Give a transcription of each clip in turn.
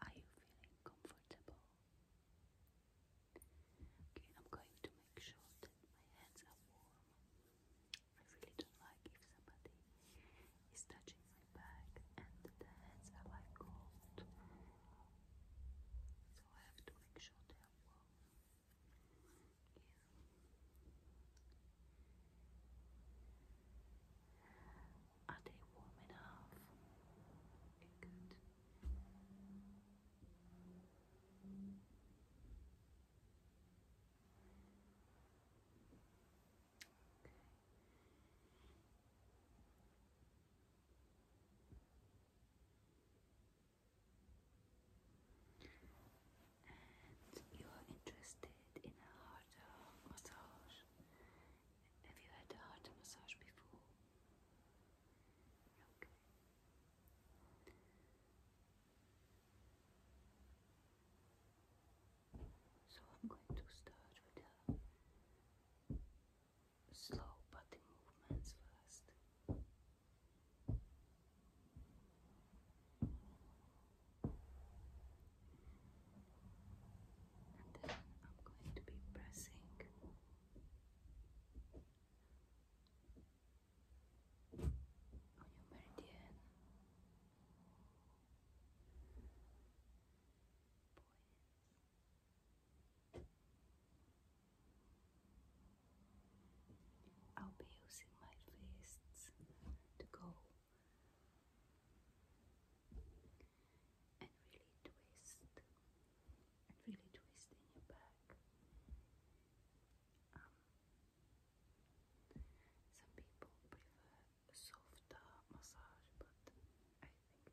Are you feeling comfortable? Okay, I'm going to make sure that my hands are warm. I really don't like if somebody is touching my back and the hands are like cold. So I have to make sure they are warm. Are they warm enough? good. And you are interested in a harder massage have you had a heart massage before? So I'm going to start with the slow body movements first. And then I'm going to be pressing on your meridian. I'll be using my fists to go and really twist and really twist in your back. Um, some people prefer a softer massage, but I think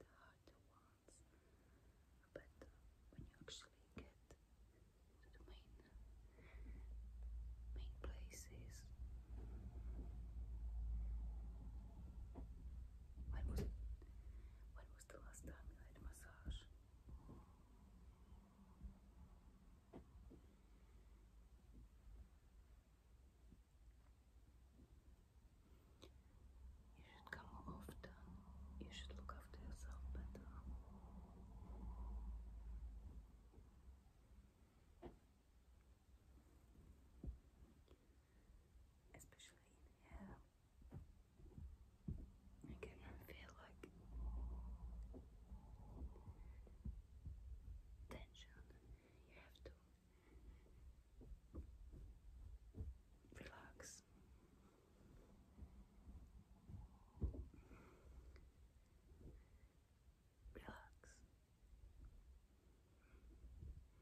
the harder ones are better when you actually get to the main main places when was when was the last time you a massage? You should come more often. You should look after yourself better especially here. I can feel like tension. You have to relax. Relax.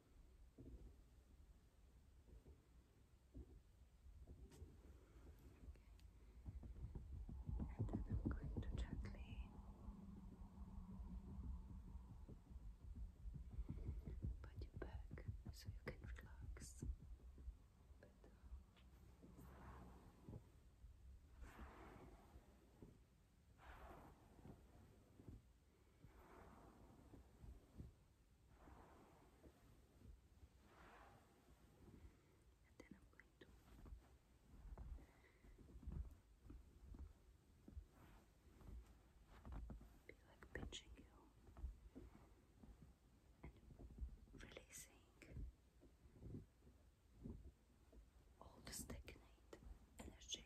And I'm going to gently put you back so you can relax and then I'm going to be like pinching you and releasing all the stagnant energy.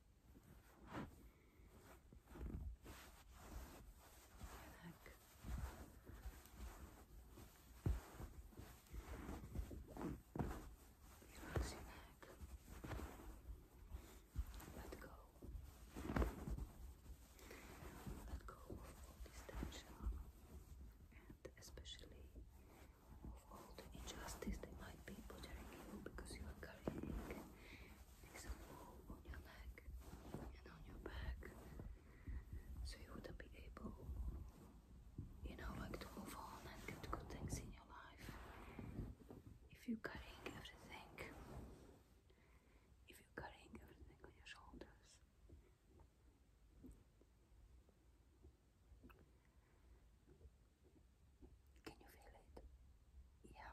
Look. Relax your Let go. go of and especially of all the injustice they might be bothering you because you are carrying make some room on your neck and on your back so you wouldn't be able, you know, like to move on and get good things in your life. If you're carrying everything, if you're carrying everything on your shoulders. Can you feel it? Yeah.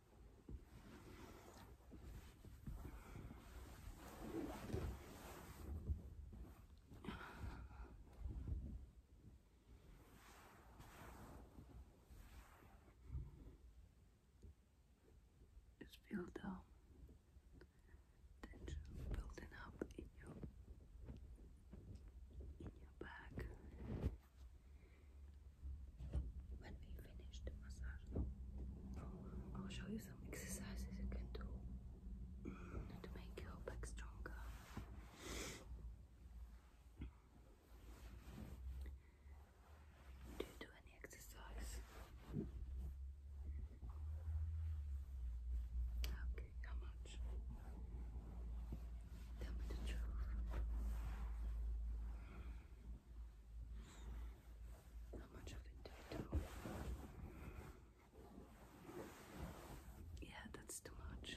Just feel the tension building up in your in your back, when we finish the massage, I'll show you some exercises you can do to make your back stronger. Do you do any exercise? Okay, how much? Tell me the truth. Not much of a tato. Yeah, that's too much.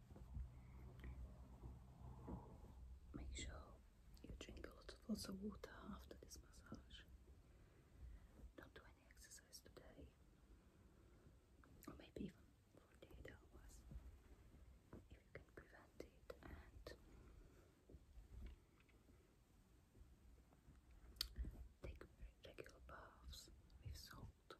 Make sure you drink a lot of lots of water after this massage. Don't do any exercise today, or maybe even 48 hours if you can prevent it. And take regular baths with salt.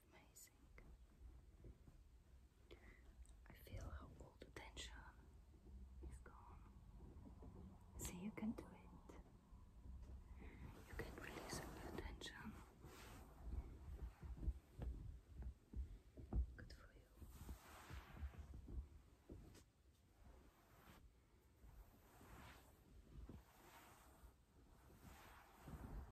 Amazing. I feel how all the tension is gone. See, you can do it. You can release all your tension. Good for you.